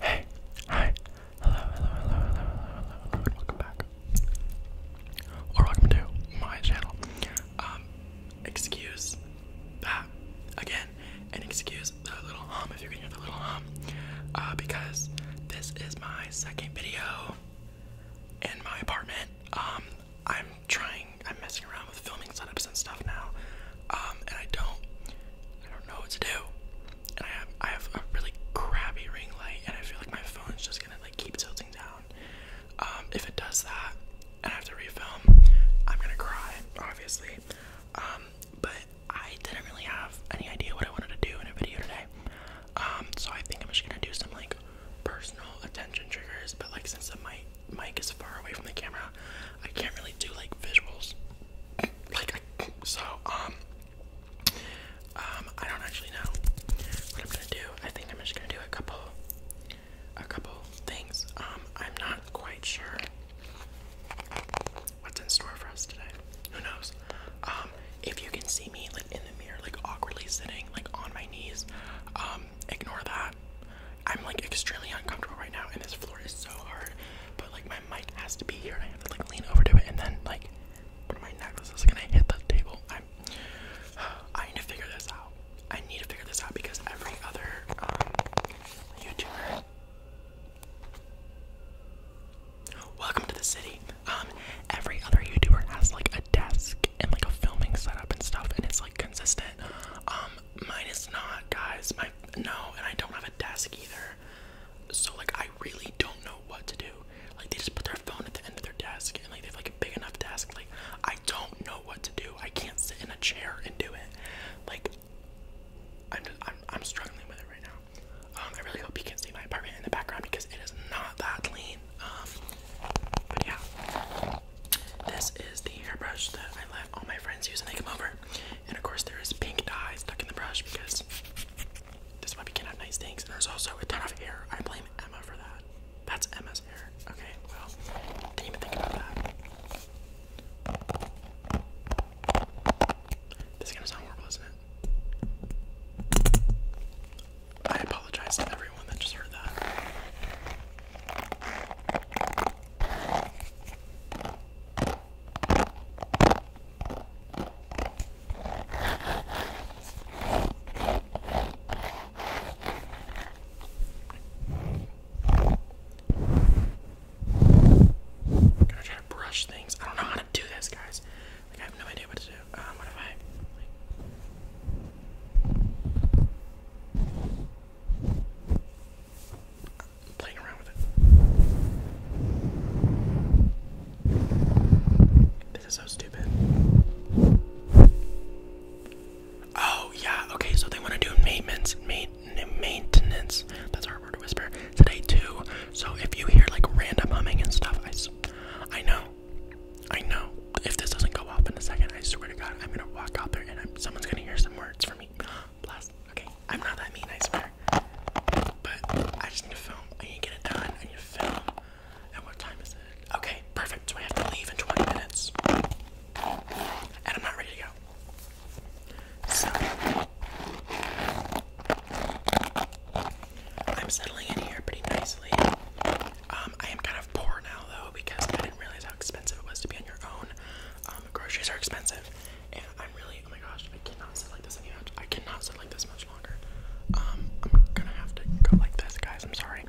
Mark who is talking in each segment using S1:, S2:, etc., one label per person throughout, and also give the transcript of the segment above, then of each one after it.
S1: Hey, hi, hello, hello, hello, hello, hello, welcome back. Or welcome to my channel. Um, excuse that again, and excuse the little hum if you can hear the little hum, uh, because this is my second video in my apartment. Um, I'm trying, I'm messing around with filming setups and stuff now, um, and I don't, I don't know what to do. And I have, I have a really crappy ring light, and I feel like my phone's just gonna like keep tilting down. Um, if it does that, and I have to refilm, I'm gonna cry, obviously. Um, but I didn't really have any idea what I wanted to do in a video today. Um, so I think I'm just gonna do some like personal attention triggers, but like since my mic is far away from the camera, I can't really do like visuals. Like so, um, um, I don't actually know what I'm gonna do. I think I'm just gonna do a couple, a couple things. Um, I'm not quite sure what's in store for us today. Who knows? Um, um, if you can see me like in the mirror, like awkwardly sitting, like on my knees, um, ignore that. I'm like extremely uncomfortable right now, and this floor is so hard. But like my mic has to be here, and I have to like lean over to it, and then like one of my necklaces is gonna hit the table. I'm. I need to figure this out. I need to figure this out because every other um, YouTuber. Welcome to the city. Um, every other YouTuber has like a desk and like a filming setup and stuff, and it's like consistent. Um, mine is not, guys. My no, and I don't have a desk either. So like, I really don't know what to do. Like, they just put their phone at the end of their desk, and like they have like a big enough desk. Like, I don't know what to do. I can't sit in a chair and do it. Like, I'm I'm I'm struggling with it right now. Um, I really hope you can see my apartment in the background because it is not that clean. Um, but yeah, this is the hairbrush that I let all my friends use when they come over, and of course there is pink dye stuck in the brush because this is why we can have nice things. And there's also a ton of hair. I blame Emma for that. That's Emma's hair. Okay, well, didn't even think about that. This is gonna sound horrible, isn't it? I apologize to everyone that just heard that. I'm gonna try to brush things. I don't know how to do this, guys. I have no idea what to do. Um, what if I? am playing around with This is so stupid. Oh yeah. Okay, so they want to do maintenance. Main maintenance. That's our to whisper today too. So if you hear like random humming and stuff, I, I know, I know. If this doesn't go off in a second, I swear to God, I'm gonna walk out there and someone's gonna hear some words from me. Bless. Okay, I'm not that mean, I swear. But I just need to film. I need to get it done. I need to film. And what time is it? Okay, perfect. So I have to leave in 20 minutes, and I'm not ready to go. So I'm settling in here pretty nicely. Um, I am kind of poor now though because I didn't realize how expensive it was to be on your own. Um, groceries are expensive, and I'm really oh my gosh, I cannot sit like this any much. I cannot sit like this much longer. Um, I'm gonna have to go like this, guys. I'm sorry.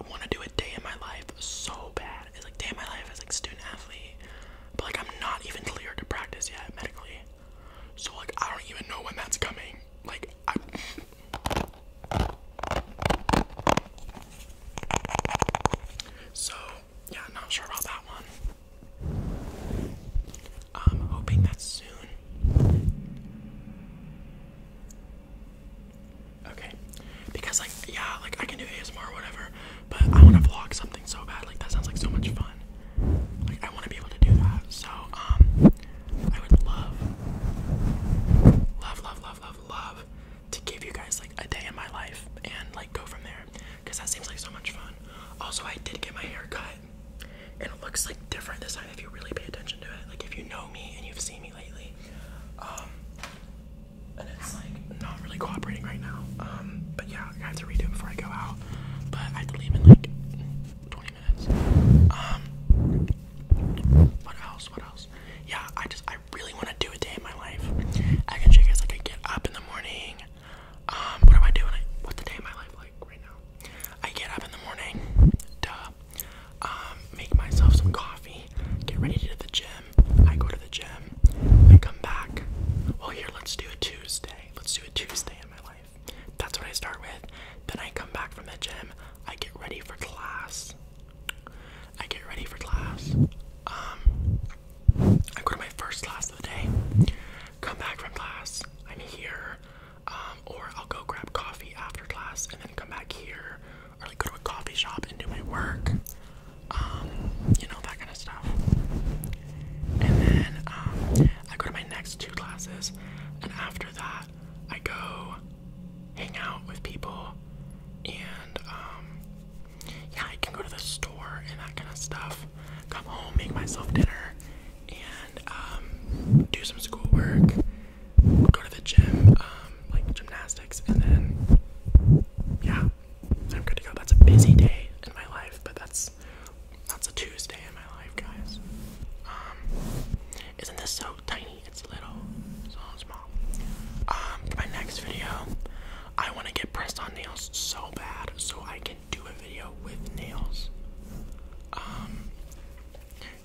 S1: I want to do a day in my life so bad. It's like day my life as like student athlete, but like I'm not even cleared to practice yet medically. So like I don't even know when that's coming. Like I. So yeah, not sure about that one. I'm hoping that soon. Okay. Because like yeah, like I can do ASMR or whatever, but I wanna vlog something so bad. Like that sounds like so much fun. Like I wanna be able to do that. So um I would love love love love love love to give you guys like a day in my life and like go from there. Cause that seems like so much fun. Also I did get my hair cut and it looks like different this time if you really pay attention to it. Like if you know me and you've seen me lately. Um and it's like not really cooperating right now. Um, but yeah, I have to redo it before I go out. But I have to leave in like 20 minutes. Um, what else? What else? Yeah, I just I really want to do a day in my life. I can show you guys like I get up in the morning. Um, what do I do? what's the day in my life like right now? I get up in the morning. Duh. Um, make myself some coffee. Get ready to do the gym. I go to the gym, I come back. Well, here, let's do a Tuesday. Let's do a Tuesday in my life. That's what I start with. Then I come back from the gym, I get ready for class. I get ready for class. Um, I go to my first class of the day. Come back from class. I'm here. Um, or I'll go grab coffee after class and then come back here or like go to a coffee shop and do my work, um, you know, that kind of stuff. And then um, I go to my next two classes, and after that, I go hang out with people, and um, yeah, I can go to the store and that kind of stuff. Come home, make myself dinner, and do some schoolwork go to the gym, um, like gymnastics, and then yeah, I'm good to go. That's a busy day in my life, but that's that's a Tuesday in my life, guys. Um, isn't this so tiny? It's little, so small. Um, for my next video, I want to get pressed on nails so bad, so I can do a video with nails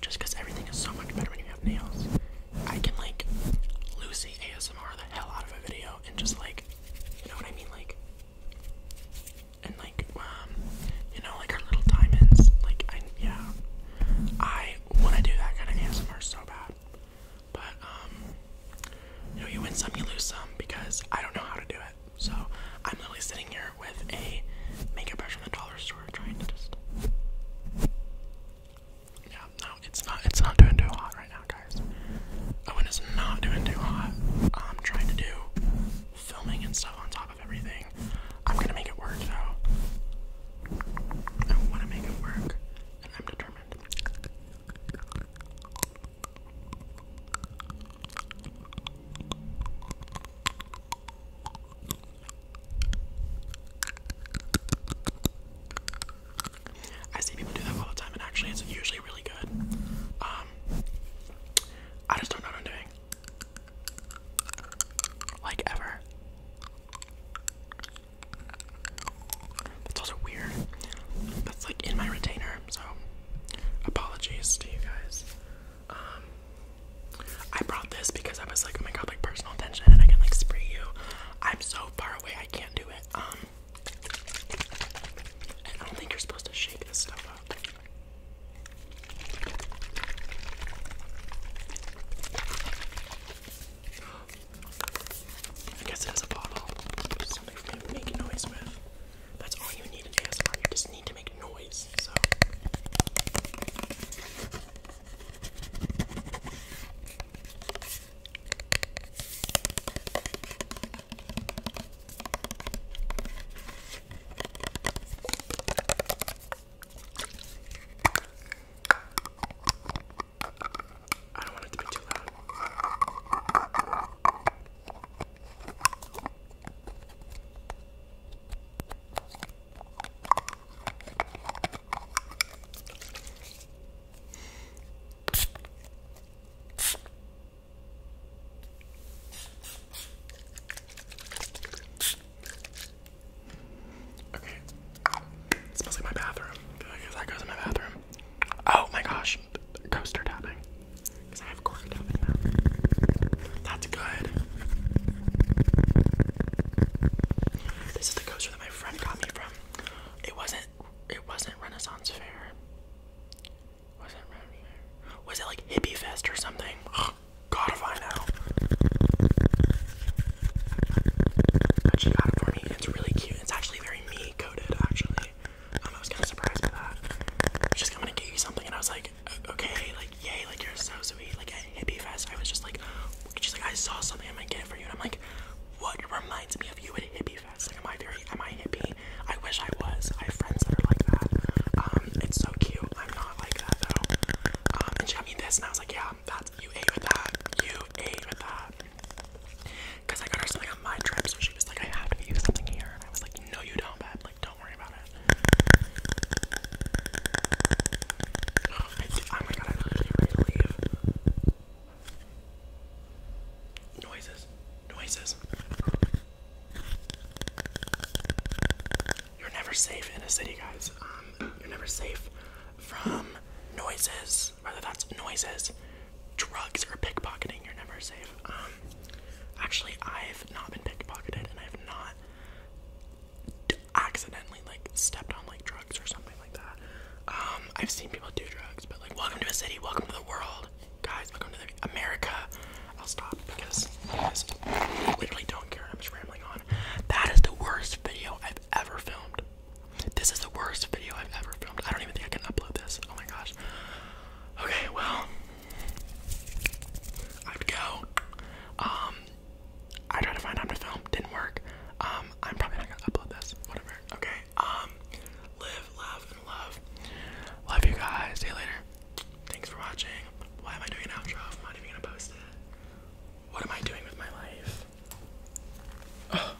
S1: just because everything is so much better when you have nails. I can like Lucy ASMR the hell out of a video and just like, you know what I mean, like, and like, um, you know, like her little diamonds, like, I, yeah, I want to do that kind of ASMR so bad, but um, you know, you win some, you lose some because I don't know how to do it. So I'm literally sitting here with a makeup brush from the dollar store. Yeah, no, it's not. It's not doing too hot right now, guys. Owen oh, is not doing too hot. I'm trying to do filming and stuff on top of everything. I'm gonna make it work, though. I want to make it work, and I'm determined. I see people do that all the time, and actually, it's usually really good. Um, I just don't know what I'm doing, like ever. That's also weird. That's like in my retainer, so apologies to you guys. Um, I brought this because I was like, oh my god, like personal attention, and I can like spray you. I'm so far away, I can't do it. Um, I don't think you're supposed to shake this stuff up. I guess it has a bottle. Something for me to make noise with. That's all you need an ASMR, you just need to make noise, so. I don't want it to be too loud. Okay. smells like my bathroom. I guess that goes in my bathroom. Oh my gosh. Coaster tapping. Because I have corked up That's good. This is the coaster that my friend got me from. It wasn't it wasn't Renaissance Fair. Was it Renaissance Fair? Was it like Hippie Fest or something? Ugh, God if I But she got it for me. It's really cute. It's actually very me coded actually. I was kind of surprised by that. She's like, i to get you something, and I was like, okay, like, yay, like, you're so sweet. Like, at Hippie Fest, I was just like, she's like, I saw something, I might get it for you, and I'm like, what reminds me of you at Hippie Fest? Like, am I very, am I hippie? I wish I was. I have friends that are like that. Um, it's so cute. I'm not like that though. Um, and she got me this, and I was like, yeah, that's you ate with that. You ate with that. Cause I got her something on my trip, so she was like, I have to give you something here, and I was like, no, you don't, babe. Like, don't worry about it. Oh, my god, i literally ready to leave. Noises. Noises. You're never safe in a city, guys. Um, you're never safe from noises, whether that's noises, drugs or pickpocketing, you're never safe. Um, actually, I've not been pickpocketed, and I've not accidentally like stepped on like drugs or something like that. Um, I've seen people do drugs, but like, welcome to a city, welcome to the world, guys. Welcome to the America. I'll stop because I just literally don't care. I'm just rambling on. That is the worst video I've ever filmed. This is the worst video I've ever filmed. I don't even think I can upload this. Oh my gosh. Okay, well, I have go. Um, I tried to find time to film, didn't work. Um, I'm probably not gonna upload this, whatever. Okay, um, live, love, and love. Love you guys. See you later. Thanks for watching. Why am I doing an outro I'm not even gonna post it? What am I doing with my life?